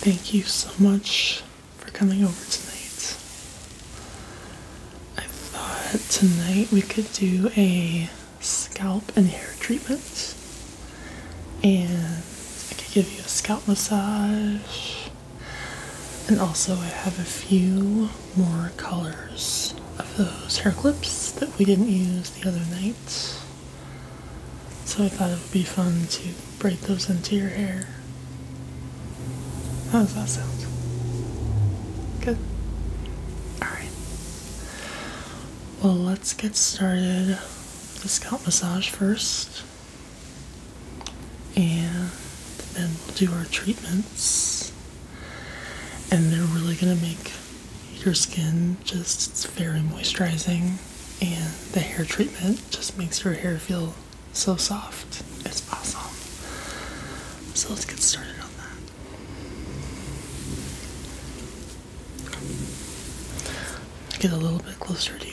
Thank you so much for coming over tonight. I thought tonight we could do a scalp and hair treatment, and I could give you a scalp massage, and also I have a few more colors of those hair clips that we didn't use the other night. So I thought it would be fun to braid those into your hair. How does that sound? Good. Alright. Well, let's get started. The scalp massage first. And then we'll do our treatments. And they're really going to make your skin just it's very moisturizing and the hair treatment just makes your hair feel so soft. It's awesome. So let's get started on that. Get a little bit closer to you.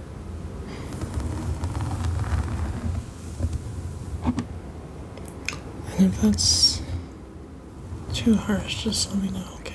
And if that's too harsh, just let me know, okay?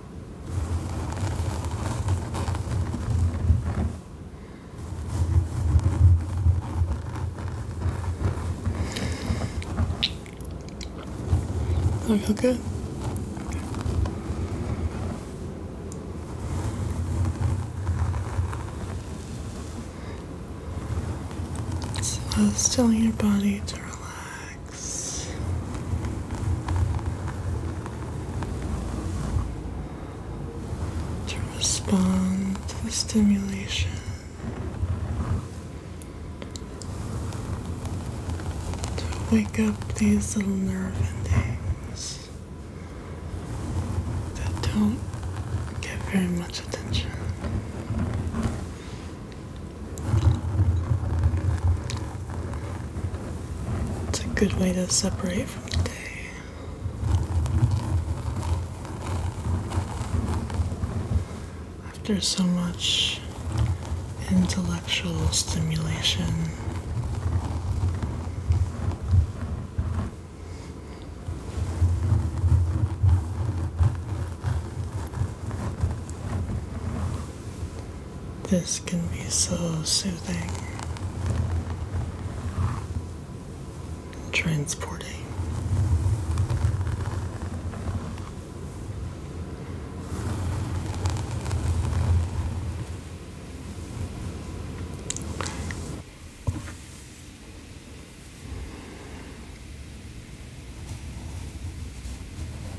Are you okay? So, uh, still in your body to relax. To respond to the stimulation. To wake up these little nerve endings that don't get very much attention. It's a good way to separate from the day. After so much intellectual stimulation, this can be so soothing, transporting.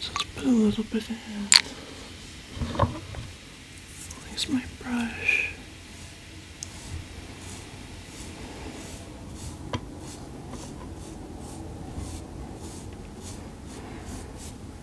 Just put a little bit in. Use my brush.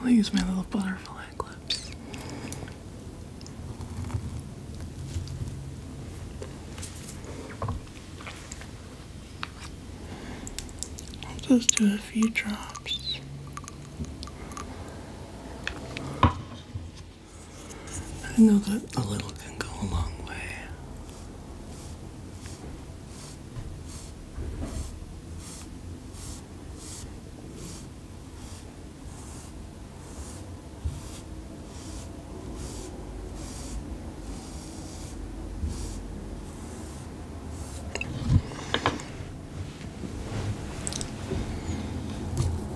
I'll use my little butterfly clips. I'll just do a few drops. I know that a little can go a long way.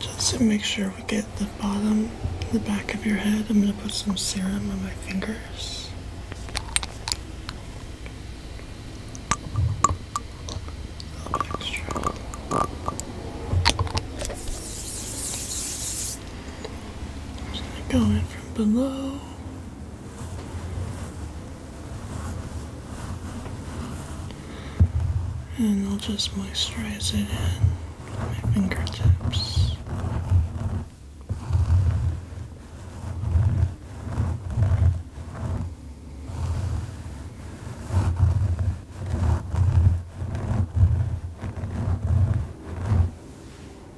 Just to make sure we get the bottom, the back of your head, I'm going to put some serum on my fingers. Going from below and I'll just moisturize it in my fingertips.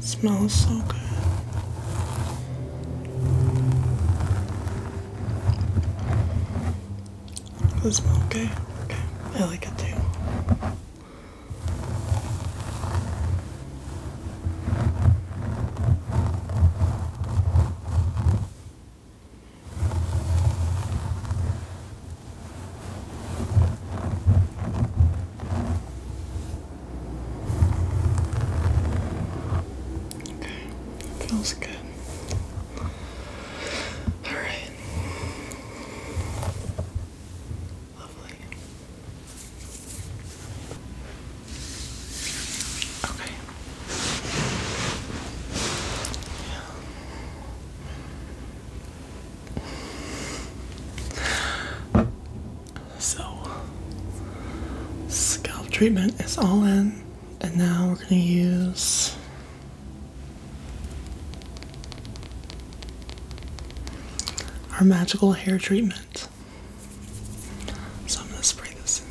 smells so good. Does it smell okay? Okay. I like it too. Okay, feels good. All right. Lovely. Okay. Yeah. So, scalp treatment is all in, and now we're going to use our magical hair treatment. So, I'm going to spray this in.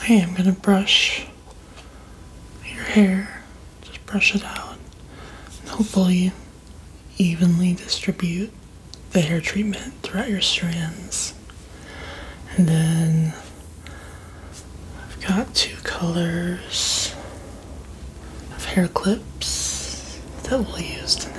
I am going to brush your hair, just brush it out, and hopefully evenly distribute the hair treatment throughout your strands. And then I've got two colors of hair clips that we'll use tonight.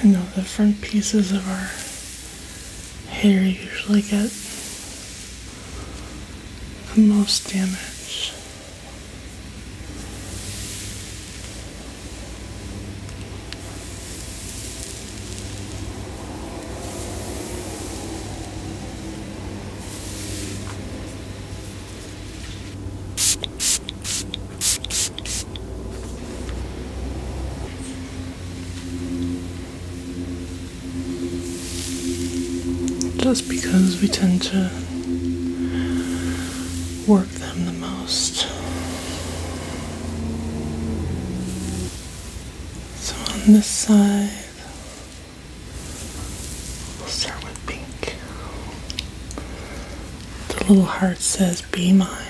I know the front pieces of our hair usually get the most damage. Just because we tend to work them the most. So on this side, We'll start with pink. The little heart says, Be mine.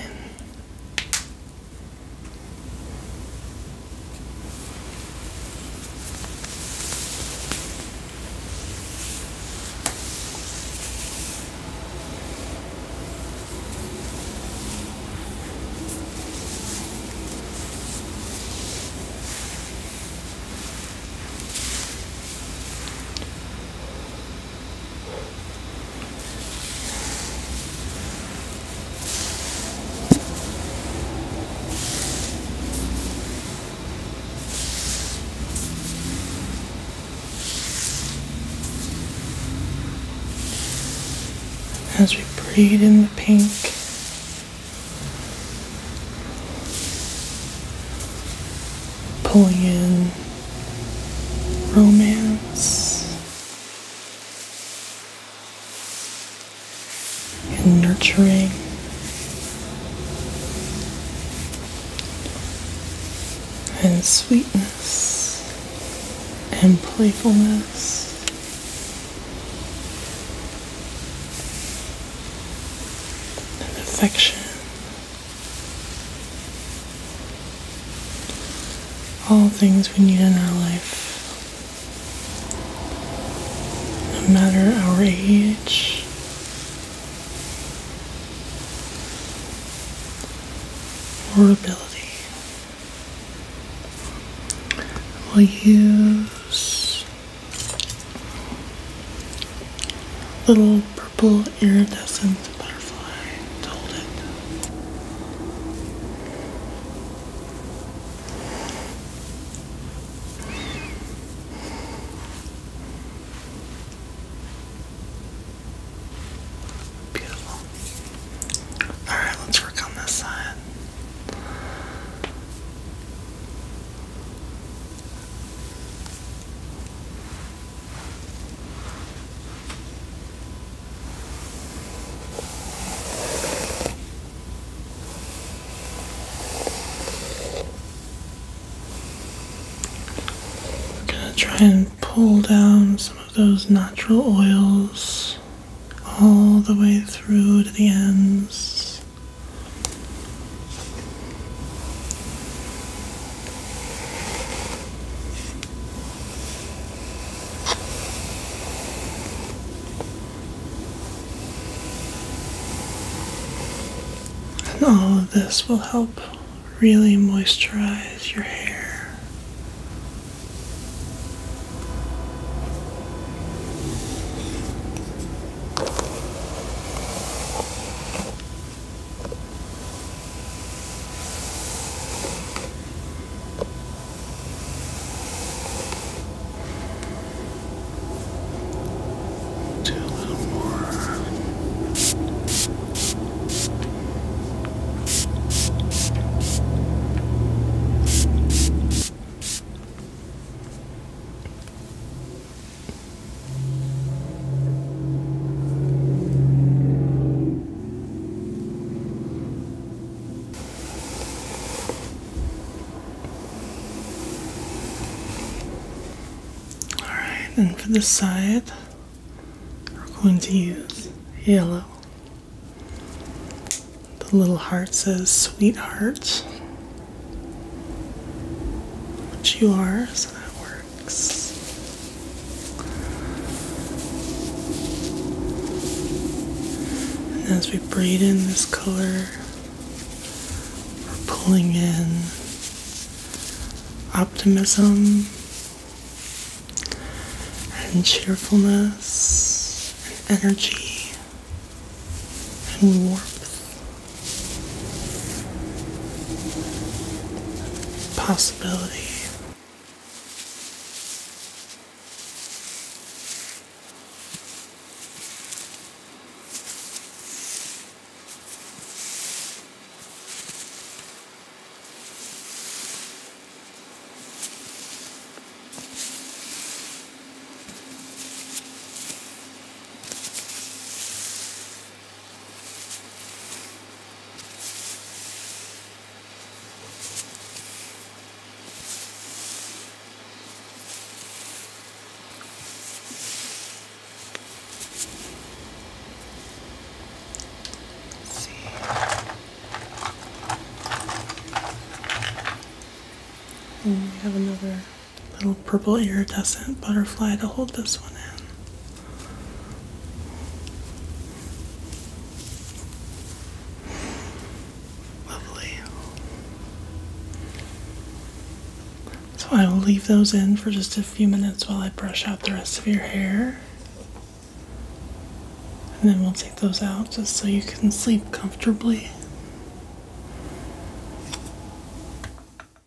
As we breathe in the pink, pulling in romance and nurturing. And sweetness and playfulness in this All things we need in our life, no matter our age. Or ability. We'll use Little purple iridescent butterfly Beautiful. Alright, let's work on this side. I'm gonna try and pull down some of those natural oils all the way through to the ends all of this will help really moisturize your hair. Do a little more. Alright, and for the side, we're going to use yellow. The little heart says sweetheart. Which you are, so that works. And as we braid in this color, we're pulling in optimism and cheerfulness and energy and warmth, possibility. Let's see. And mm, we have another little purple iridescent butterfly to hold this one in. Lovely. So I will leave those in for just a few minutes while I brush out the rest of your hair. And then we'll take those out just so you can sleep comfortably.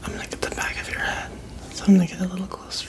I'm gonna get the back of your head, so I'm gonna get a little closer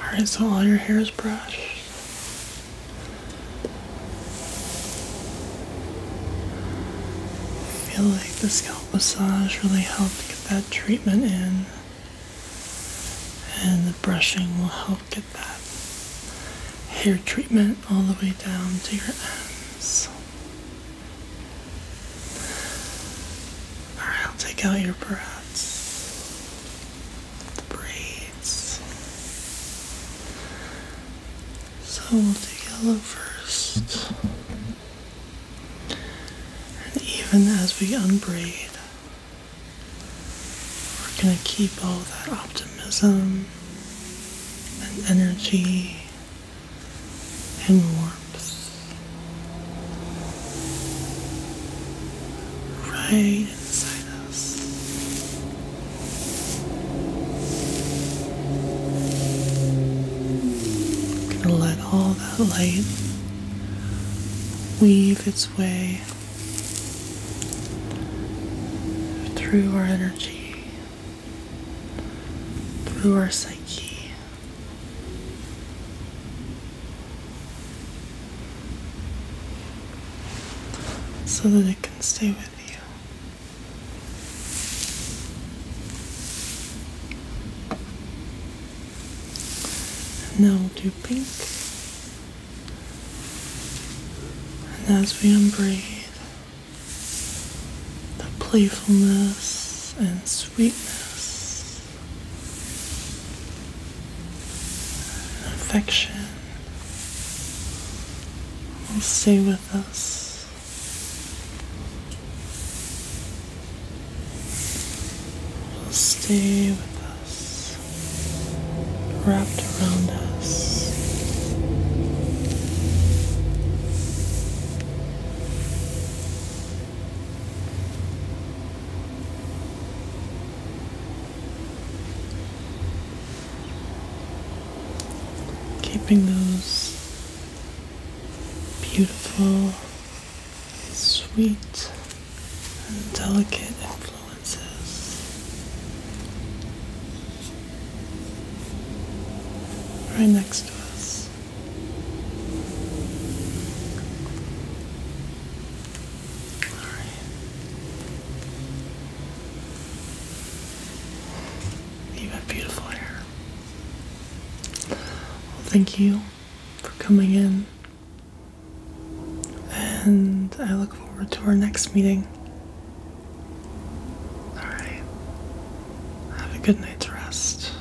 Alright, so all your hair is brushed. I feel like the scalp massage really helped get that treatment in. And the brushing will help get that hair treatment all the way down to your ends. Alright, I'll take out your braids the braids. So we'll do yellow first. And even as we unbraid, we're going to keep all that optimism and energy and warmth right inside us. i let all that light weave its way through our energy, through our psyche so that it can stay with you. And now we do pink. And as we unbraid, the playfulness and sweetness affection will stay with us. Will stay with us, wrapped around us. Keeping those beautiful, sweet, and delicate influences right next to us. You have beautiful hair. thank you for coming in. And I look forward to our next meeting. Alright. Have a good night's rest.